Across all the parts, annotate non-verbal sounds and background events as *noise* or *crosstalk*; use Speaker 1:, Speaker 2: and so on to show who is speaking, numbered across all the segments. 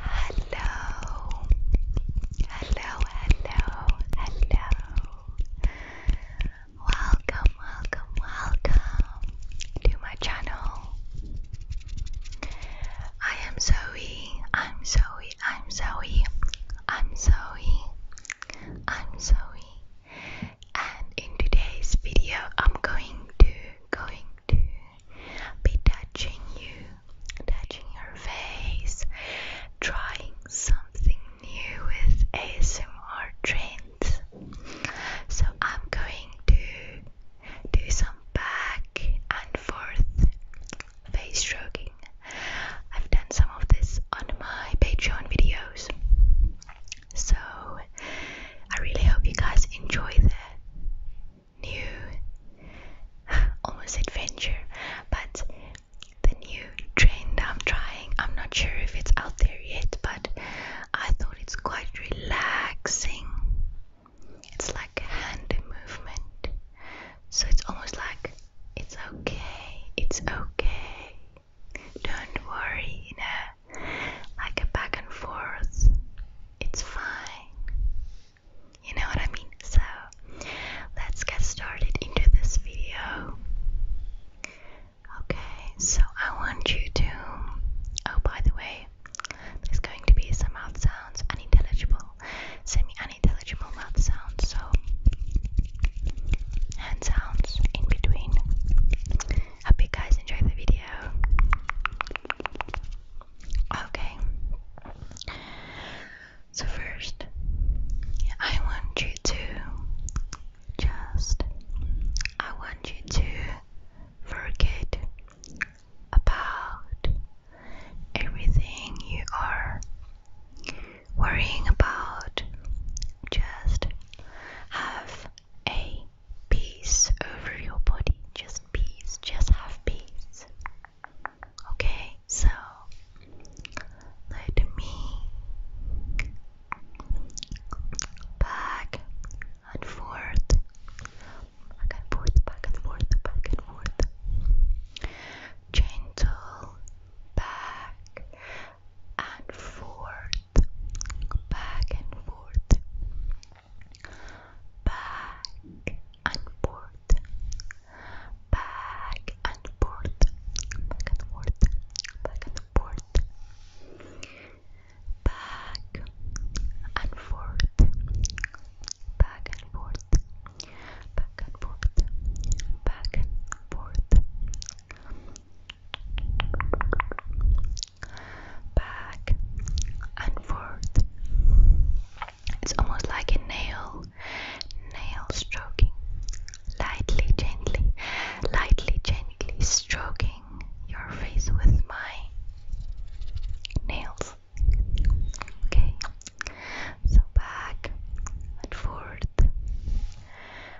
Speaker 1: Hello, hello, hello, hello. Welcome, welcome, welcome to my channel. I am Zoe, I'm Zoe, I'm Zoe, I'm Zoe, I'm Zoe. And in today's video, I'm going to, going to, be touching you, touching your face, trying something new with ASMR trends. So I'm going to do some back and forth face stroking. I've done some of this on my Patreon videos. So I really hope you guys enjoy that new, *sighs* almost adventure, but the new trend I'm trying. I'm not sure if it's out there yet, but I thought it's quite relaxing. It's like hand movement, so it's almost like it's okay, it's okay. Don't worry, you know like a back and forth, it's fine. You know what I mean? So, let's get started into this video. Okay, so I want you to. Oh, by the way, there's going to be some mouth sounds, unintelligible, semi unintelligible mouth sounds, so hand sounds in between. Hope you guys enjoy the video. Okay. So, first, I want you to just, I want you to forget about everything you are worrying about. Just have a peace over your body. Just peace. Just have peace. Okay, so let me back and forth, back forth, back and forth, back and forth. Gentle back and forth, back and forth, back and forth, back and forth, back and forth, back and forth, back and forth, back and forth, back and forth, back and forth back and forth. It's almost like a nail, nail stroking, lightly, gently, lightly, gently stroking your face with my nails. Okay, so back and forth,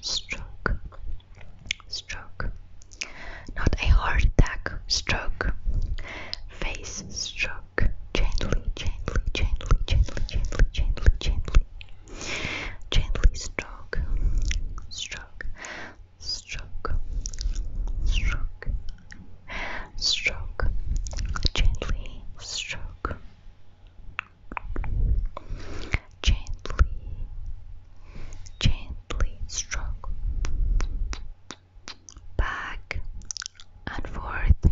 Speaker 1: stroke, stroke, stroke. Not a heart attack, stroke. Face stroke. Gently, gently, gently, gently, gently, gently, gently. Gently stroke, stroke, stroke, stroke, stroke. Gently stroke. Gently, gently stroke back and forth,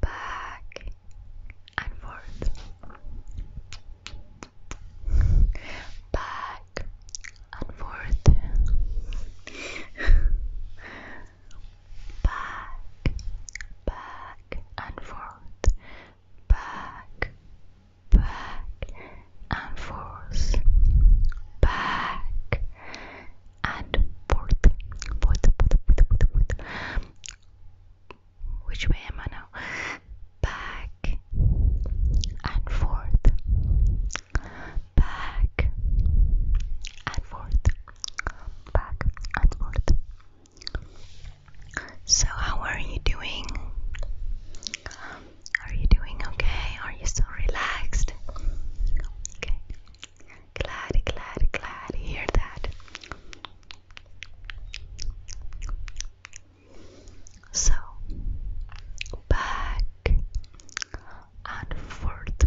Speaker 1: back and forth, back and forth back, back and forth, back, back and forth, back and forth, Which way am I now? back and forth, back and forth. Back and forth, so, how are you doing? Um, are you doing okay? Are you so relaxed? Okay. Glad, glad, glad to hear that. So, back and forth,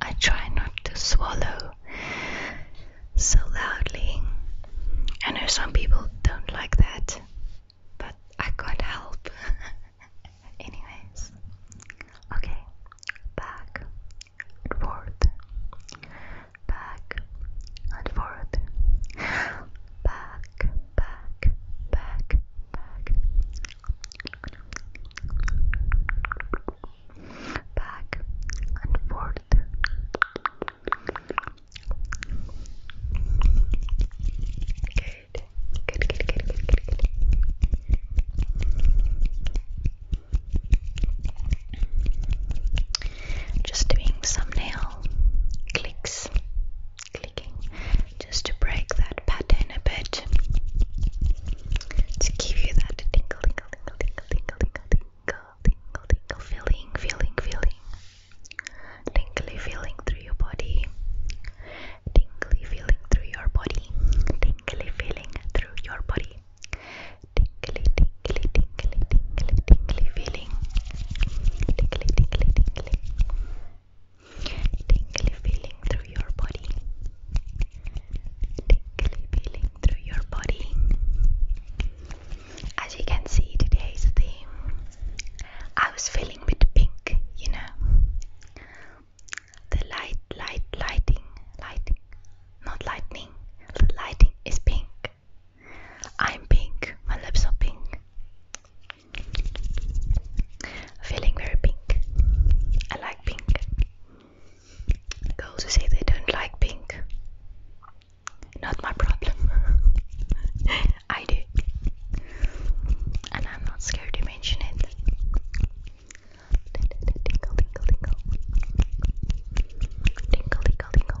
Speaker 1: I try not to swallow so loudly. I know some people don't like that, but I can't help. *laughs* Anyways, okay, back and back and forth, back, back, back, back, back and forth. Good. Good, good, good, good, good, good. Just doing some nail clicks, clicking just to break that pattern a bit to give you that tingle, tingle, tingle, tingle, tingle, tingle, tingle, tingle, tingle feeling, feeling, feeling, tingly feeling through your body, tingly feeling through your body, tingly feeling through your body, tingly, tingly, tingly, tingly, tingly feeling, tingly, tingly, tingly tingly feeling through your body, tingly feeling through your body. As you can see, today's theme I was feeling a bit pink, you know, the light, light, lighting, lighting, not lightning, the lighting is pink. I'm pink, my lips are pink. Feeling very pink. I like pink. Girls who say they don't like pink. Not my problem. *laughs* I do. And I'm not scared to mention it. Tinkle, tinkle, tinkle. Tinkle, tinkle, tinkle. Tinkle, tinkle, tinkle.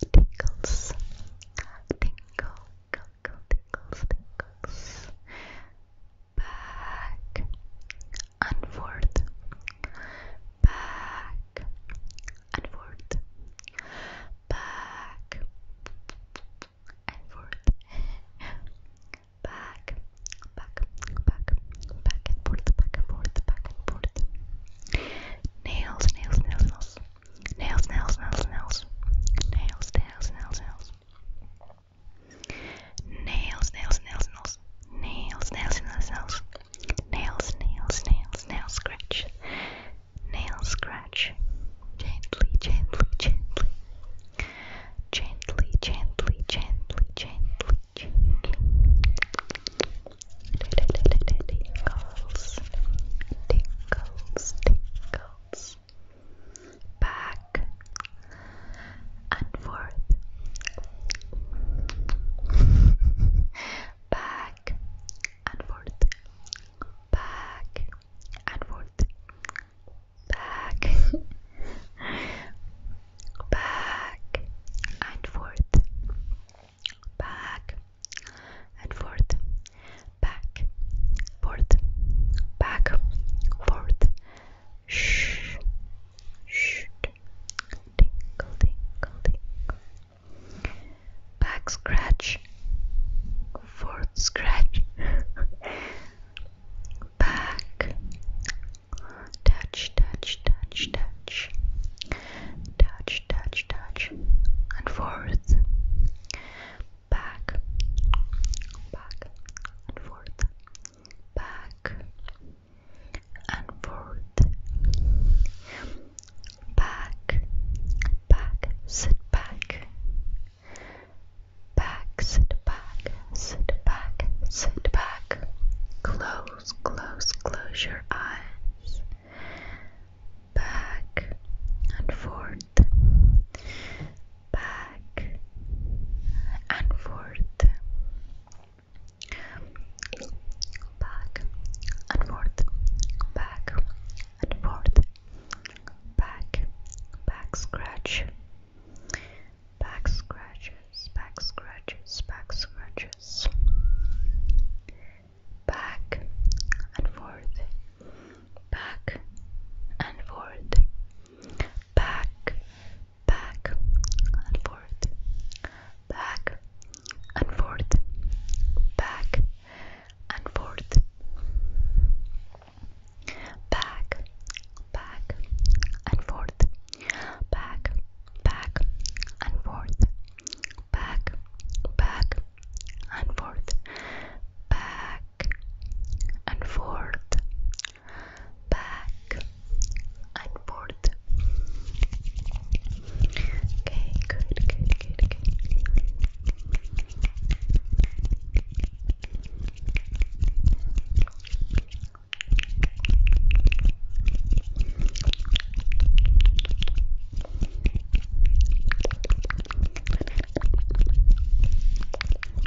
Speaker 1: Tinkles, tinkle, tinkles, tinkles, tinkles back and forth, back and forth, back and forth, back, back, back, back and forth, back and forth, back and forth. Nails, nails, nails, nails, nails, nails, nails, nails, nails, nails, nails, nails. Nails, nails, nails, nails. Nails, nails, nails, nails. Nails, nails, nails, nail scratch. Nail scratch. Gently, gently, gently. Gently, gently, gently, gently, gently. Tickles, tickles, tickles. Back, and forth, back and forth, back and forth, back, back and forth, back and forth, back, forth, back, forth. Shh. Shh. Tinkle, tinkle, tinkle. Back scratch. Fourth scratch. Back. Touch, touch, touch, touch. Touch, touch, touch. And forth. Back. Back and forth back and forth, back, back, sit back, back, sit back, sit back, sit back, close, close, close your eyes, back and forth back and forth, back and forth, back and forth, back, back scratch, back scratches, back scratches, back scratches, back and forth, back and forth back, back and forth, back and forth, back and forth, back, back and forth, back, back and forth, back, back and forth, back and forth, back and forth. Okay, good, good, good, good.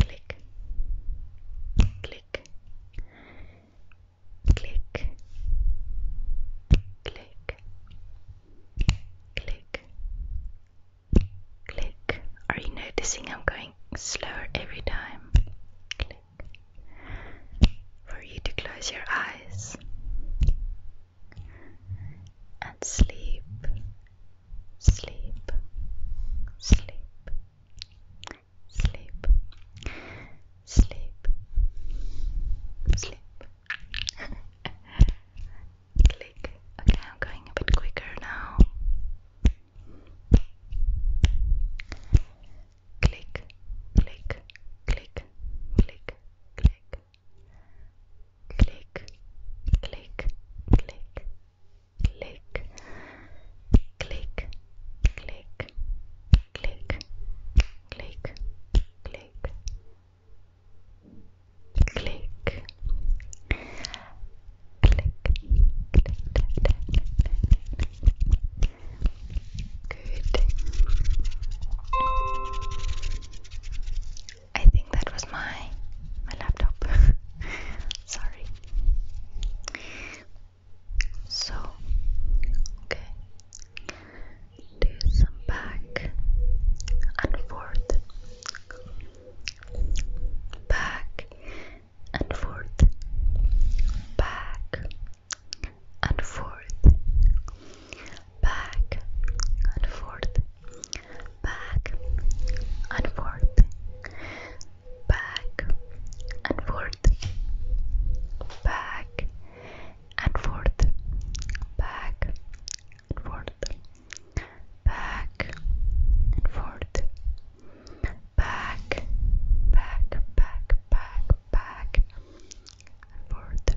Speaker 1: click, click, click, click, click, click. Are you noticing I'm going slower every time? Click. For you to close your eyes and sleep sleep, sleep, sleep, sleep, sleep. Click. Okay, I'm going a bit quicker now. Click, click, click, click, click, click, click, click, click, click, click, click, click, click, click, click. Good. I think that was my my laptop. *laughs* Sorry. So okay. Do some back and forth. Back and forth. Back and forth. Back and forth back and forth, back and forth, back and forth, back and forth, back and forth, back, back, back, back, back and forth.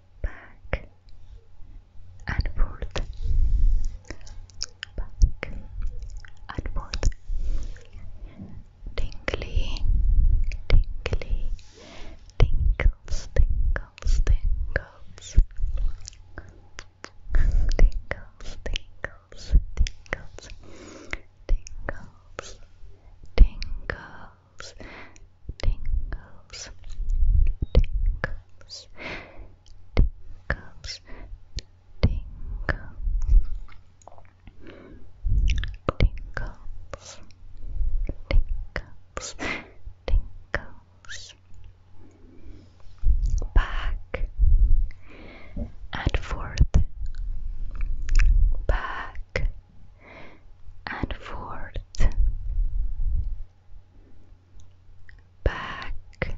Speaker 1: back and forth, back and forth, tingly, tingly, tingles, tingles, tingles, tingles, tingles, tingles, tingles, tingles tingles, tingles, tingles, tingles, tingles, tingles, back and forth, back and forth back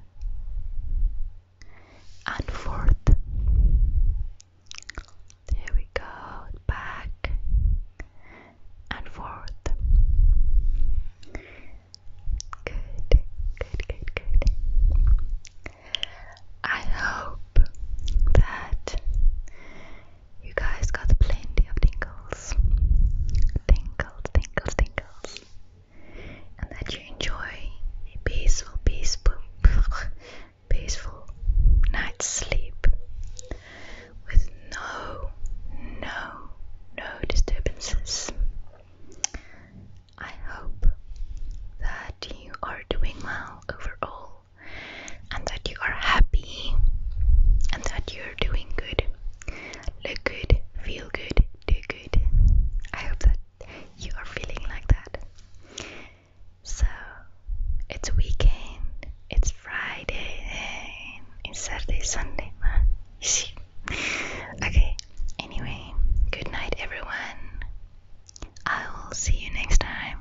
Speaker 1: and forth. There we go, back and forth. Good, good, good, good. I hope that you guys got plenty of tingles. Tingles, tingles, tingles. And that you enjoy a peaceful, peaceful, *laughs* peaceful night's sleep with no, no, no disturbances. I hope that you are doing well overall and that you are happy and that you're doing good. Look good, feel good, do good. I hope that you are feeling like that. So, it's weekend, it's Friday, it's Saturday, Sunday. You *laughs* see? Okay, anyway, good night, everyone. I will see you next time.